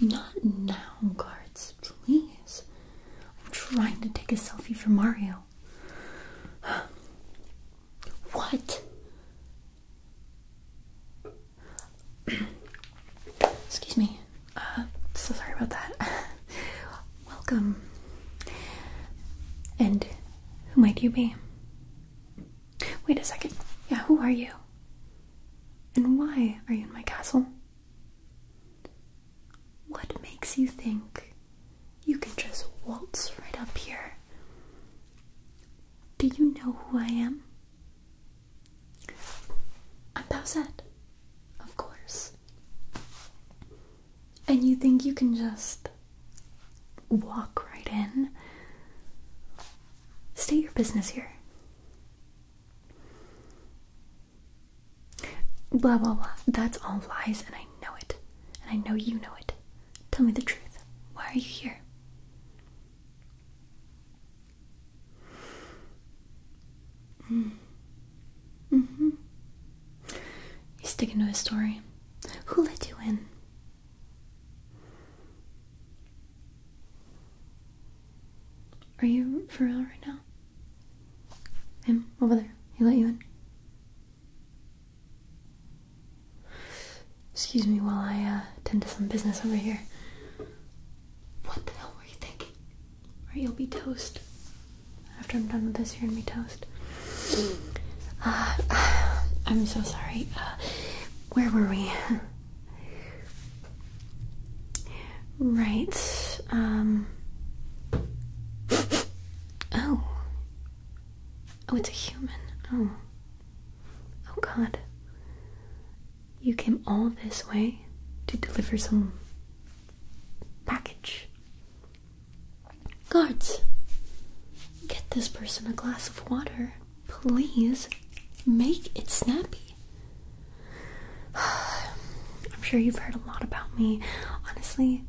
Not now, guards, please. I'm trying to take a selfie for Mario. What? Excuse me. Uh, so sorry about that. Welcome. And who might you be? Wait a second. Yeah, who are you? And why are you in my castle? What makes you think you can just waltz right up here? Do you know who I am? I'm Bowsette, of course and you think you can just walk right in, state your business here. Blah blah blah. That's all lies, and I know it. And I know you know it. Tell me the truth. Why are you here? Mm. Mm hmm. He's sticking to his story. Who let you in? Are you for real right now? Him over there. He let you in. Excuse me while I uh, tend to some business over here. What the hell were you thinking? Or you'll be toast after I'm done with this, you're gonna toast. Mm. Uh, I'm so sorry. Uh, where were we? right. Um. Oh. Oh, it's a human. Oh. Oh, God. You came all this way to deliver some package. Guards, get this person a glass of water. Please make it snappy. I'm sure you've heard a lot about me. Honestly,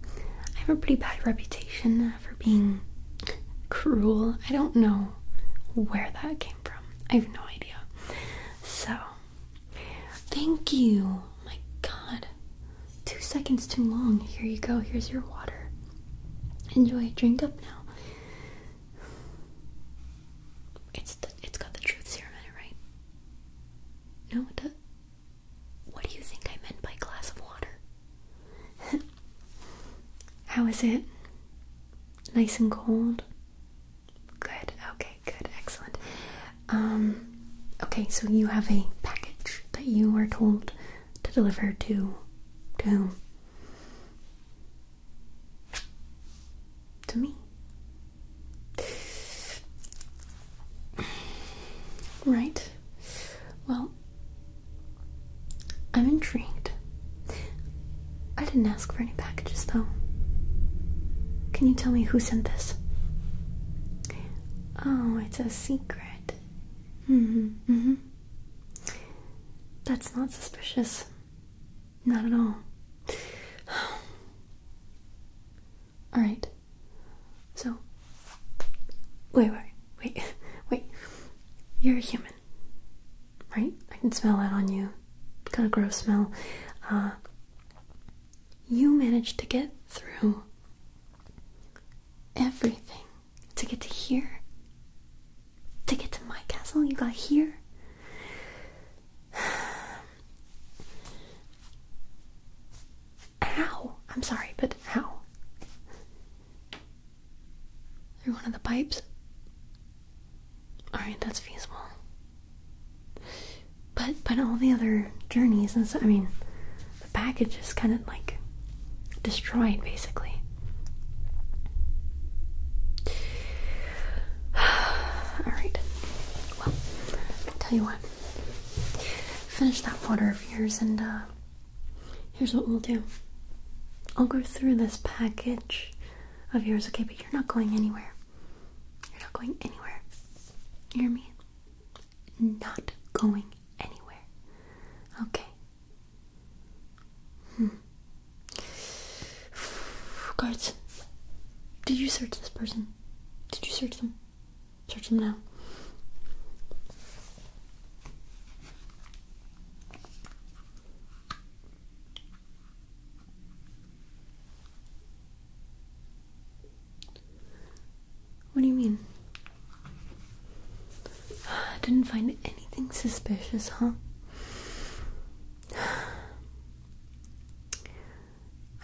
I have a pretty bad reputation for being cruel. I don't know where that came from. I have no idea. So, thank you my god. Two seconds too long. Here you go. Here's your water. Enjoy. Drink up now. It's it's got the truth serum in it, right? No, it does. What do you think I meant by glass of water? How is it? Nice and cold? Good, okay, good, excellent. Um, okay, so you have a package that you are told to deliver to to To me. Right. Well, I'm intrigued. I didn't ask for any packages though. Can you tell me who sent this? Oh, it's a secret. hmm hmm That's not suspicious. Not at all. Alright. So wait, wait, wait, wait. You're a human. Right? I can smell that on you. Kind of gross smell. Uh you managed to get through everything to get to here, to get to my castle. You got here. How? I'm sorry, but how? Through one of the pipes? Alright, that's feasible. But but all the other journeys and so I mean, the package is kind of like destroyed basically. all right. Well, I'll tell you what. Finish that water of yours, and uh, here's what we'll do. I'll go through this package of yours, okay? But you're not going anywhere. You're not going anywhere. You hear me? not going anywhere. Okay. Hmm. Guards, did you search this person? Did you search them? Search them now. What do you mean? Didn't find anything suspicious, huh?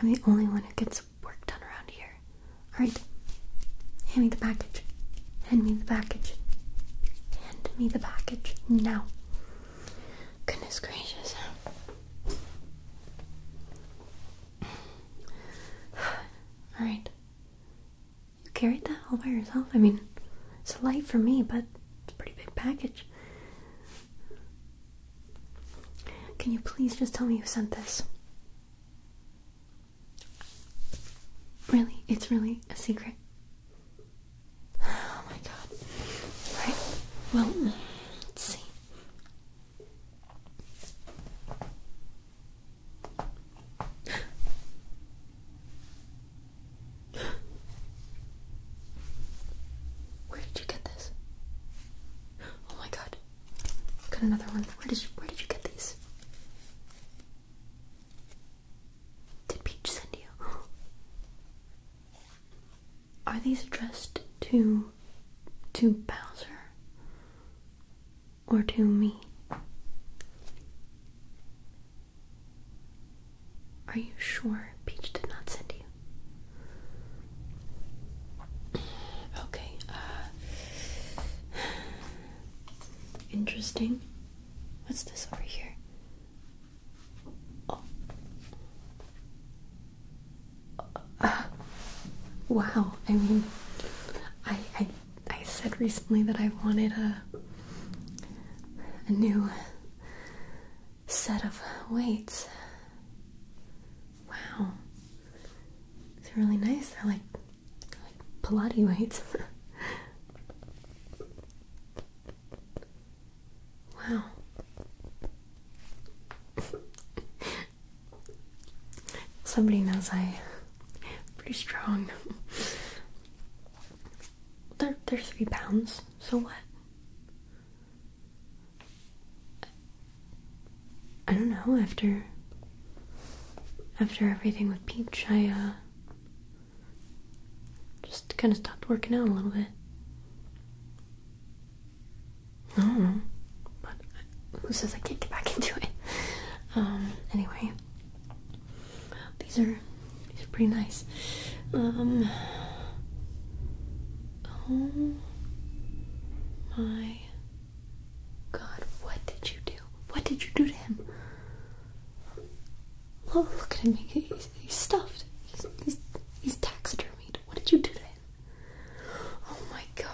I'm the only one who gets work done around here. Alright, hand me the package. Hand me the package. Hand me the package now. Goodness gracious. Alright. You carried that all by yourself? I mean, it's light for me, but it's a pretty big package. Can you please just tell me who sent this? Really? It's really a secret? Oh my god. Alright. Well, let's see. Where did you get this? Oh my god. Got another one. Where did you where did you get these? Did Peach send you? Are these addressed to to Bowser or to me? Are you sure Peach did not send you? Okay, uh, interesting. What's this over here? Oh. wow. I mean, I, I I said recently that I wanted a a new set of weights. Wow, it's really nice. They're like, like Pilates weights. wow. Somebody knows I'm pretty strong. They're, they're three pounds, so what? I don't know, after after everything with Peach, I uh just kind of stopped working out a little bit. I don't know, but who says I can't get back into it? Um, anyway, these are pretty nice. Um, oh my God, what did you do? What did you do to him? Oh, look at him. he's, stuffed. he's taxidermied. What did you do to him? Oh my god.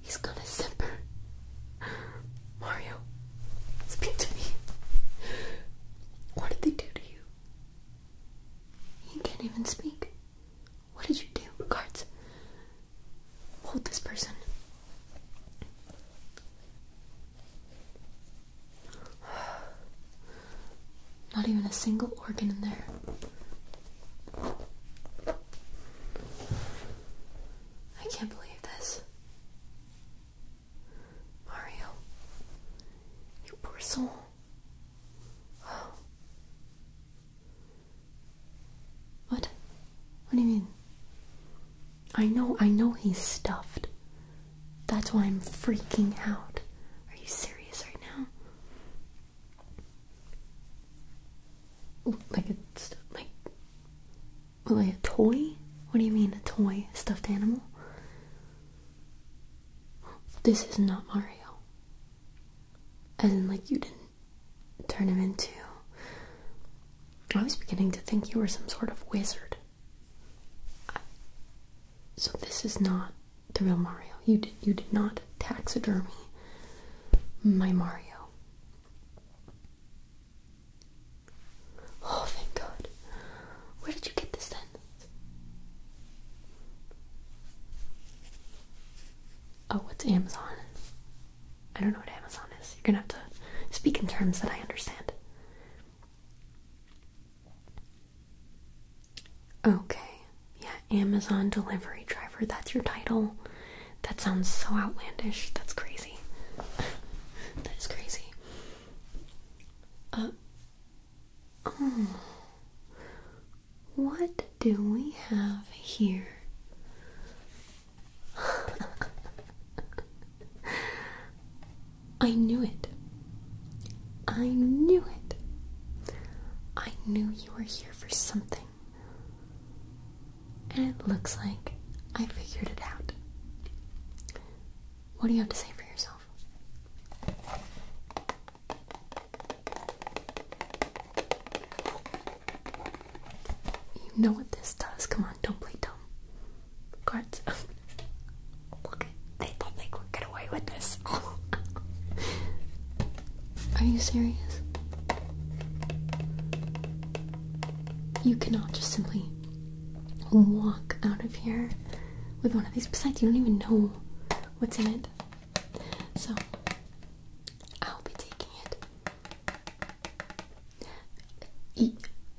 He's gonna simper. Mario, speak to me. What did they do to you? You can't even speak. What did you do? guards? Hold this person. Not even a single organ in there. I can't believe this. Mario, you poor soul. What? What do you mean? I know, I know he's stuffed. That's why I'm freaking out. Are you serious right now? Like a like like a toy? What do you mean a toy? stuffed animal? This is not Mario. As in like you didn't turn him into I was beginning to think you were some sort of wizard. So this is not the real Mario. You did you did not taxidermy my Mario. Oh thank God. Where did you get this then? Oh, it's Amazon? I don't know what Amazon is. You're gonna have to speak in terms that I understand. Okay. Yeah, Amazon delivery driver. That's your title. That sounds so outlandish. That's crazy. that is crazy. Uh oh. What do we have here? I knew it. I knew it. I knew you were here for something. And it looks like I figured it out. What do you have to say for yourself? You know what this does. Come on, don't play dumb cards. Look, they don't think get away with this. Are you serious? You cannot just simply walk out of here with one of these. Besides, you don't even know what's in it. So, I'll be taking it. E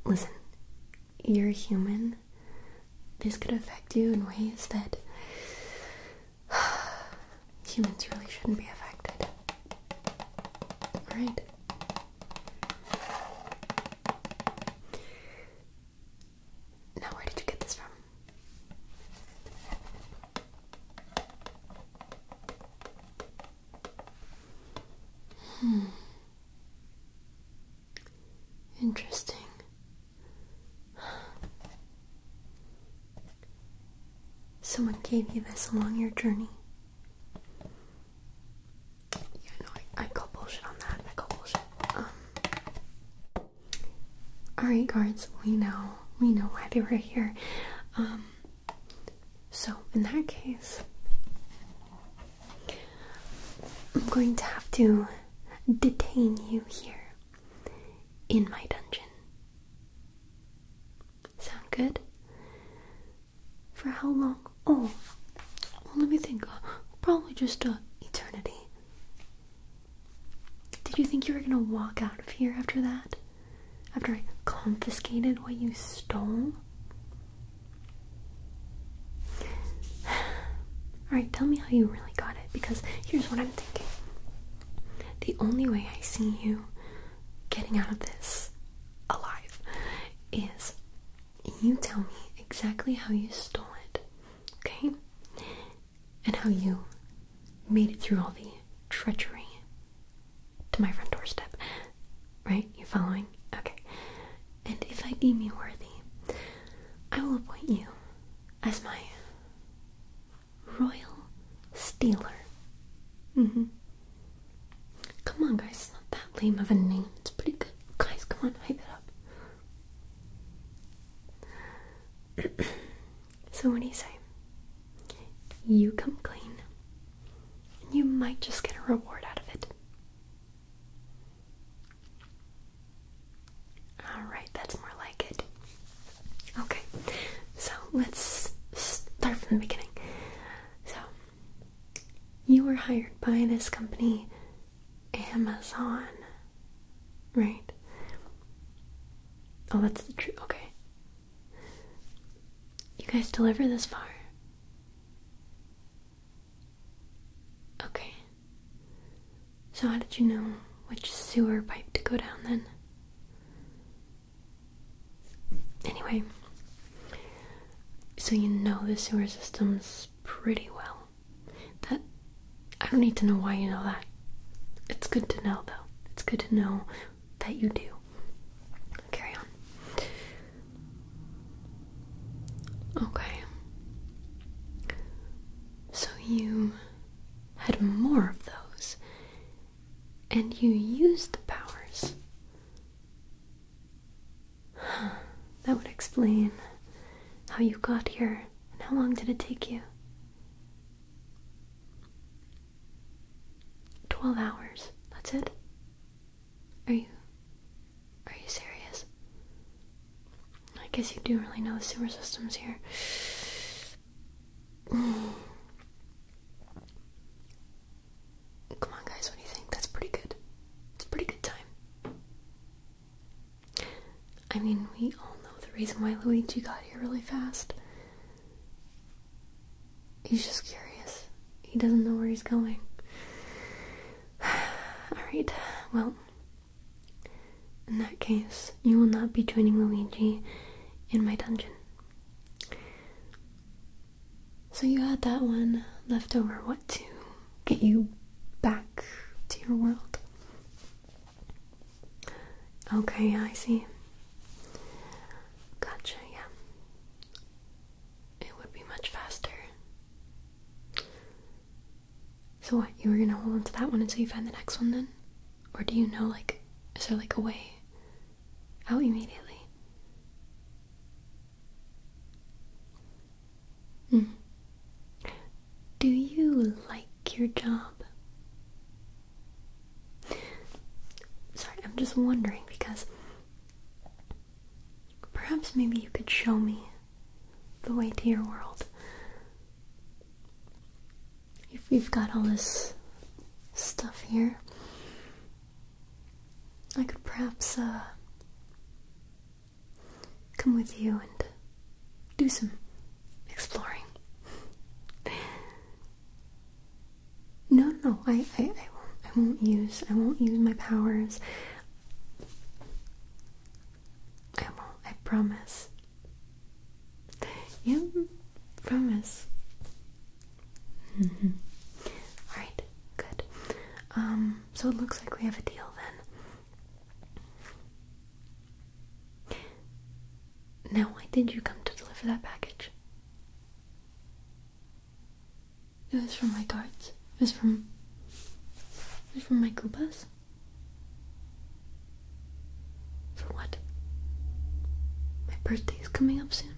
Listen, you're human, this could affect you in ways that humans really shouldn't be affected. Alright? Now, where did you get this from? Hmm. Interesting. Someone gave you this along your journey. Yeah, no, I call bullshit on that. I call bullshit. Um. Alright, guards, we know. We know why they were here. Um. So, in that case, I'm going to have to detain you here in my dungeon. Sound good? For how long? Oh, let me think. Uh, probably just uh, eternity. Did you think you were gonna walk out of here after that? After I confiscated what you stole? Alright, tell me how you really got it because here's what I'm thinking. The only way I see you getting out of this alive is you tell me exactly how you stole it, okay? And how you made it through all the treachery to my front doorstep. Right? You following? Okay. And if I deem you worthy, I will appoint you as my royal stealer. Mm-hmm. Come on, guys. It's not that lame of a name. It's pretty good. Guys, come on. Hype it up. so what do you say? You come clean and you might just get a reward out of it. Alright, that's more like it. Okay, so let's start from the beginning. So, you were hired by this company, Amazon, right? Oh, that's the truth. Okay. You guys deliver this far? Okay. So, how did you know which sewer pipe to go down then? Anyway, so you know the sewer systems pretty well. That I don't need to know why you know that. It's good to know though. It's good to know that you do. Carry on. Okay. So you had more of those, and you used the powers. That would explain how you got here and how long did it take you? 12 hours. That's it? Are you are you serious? I guess you do really know the sewer systems here. Come on guys, what do you think? That's pretty good. It's a pretty good time. I mean, we all know the reason why Luigi got here really fast. He's just curious. He doesn't know where he's going. Alright, well, in that case, you will not be joining Luigi in my dungeon. So you had that one left over, what to get you back to your world? Okay, I see. Gotcha, yeah it would be much faster. So what, you were gonna hold on to that one until you find the next one then? Or do you know like is there like a way out immediately? Hmm. Do you like your job? Sorry, I'm just wondering because perhaps maybe you could show me the way to your world. If we've got all this stuff here, I could perhaps uh, come with you and do some exploring. No, no, I, I, I won't. use. I won't use my powers. I won't. I promise. Yeah, promise. Mm-hmm. right, good. Um, so it looks like we have a deal then. Now, why did you come to deliver that package? It was from my cards. It was from. It was from my Koopas. For what? My birthday is coming up soon.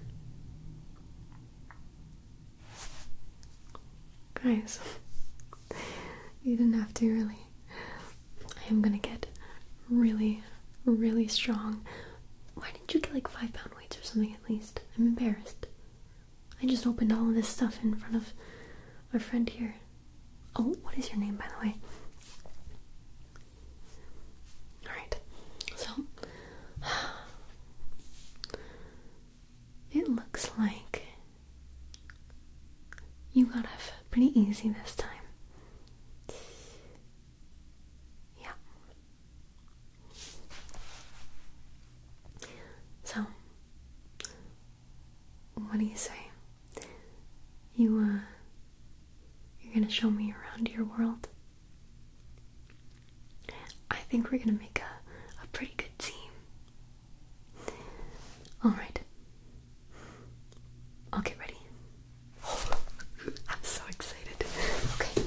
Guys, you didn't have to really. I am gonna get really, really strong. Why you get like five pound weights or something at least? I'm embarrassed. I just opened all this stuff in front of a friend here. Oh, what is your name, by the way? Alright, so it looks like you got off pretty easy this time. Yeah. So, what do you say? You, uh, you're gonna show me around your world? I think we're gonna make a, a pretty good team. Alright. I'll get ready. I'm so excited. Okay.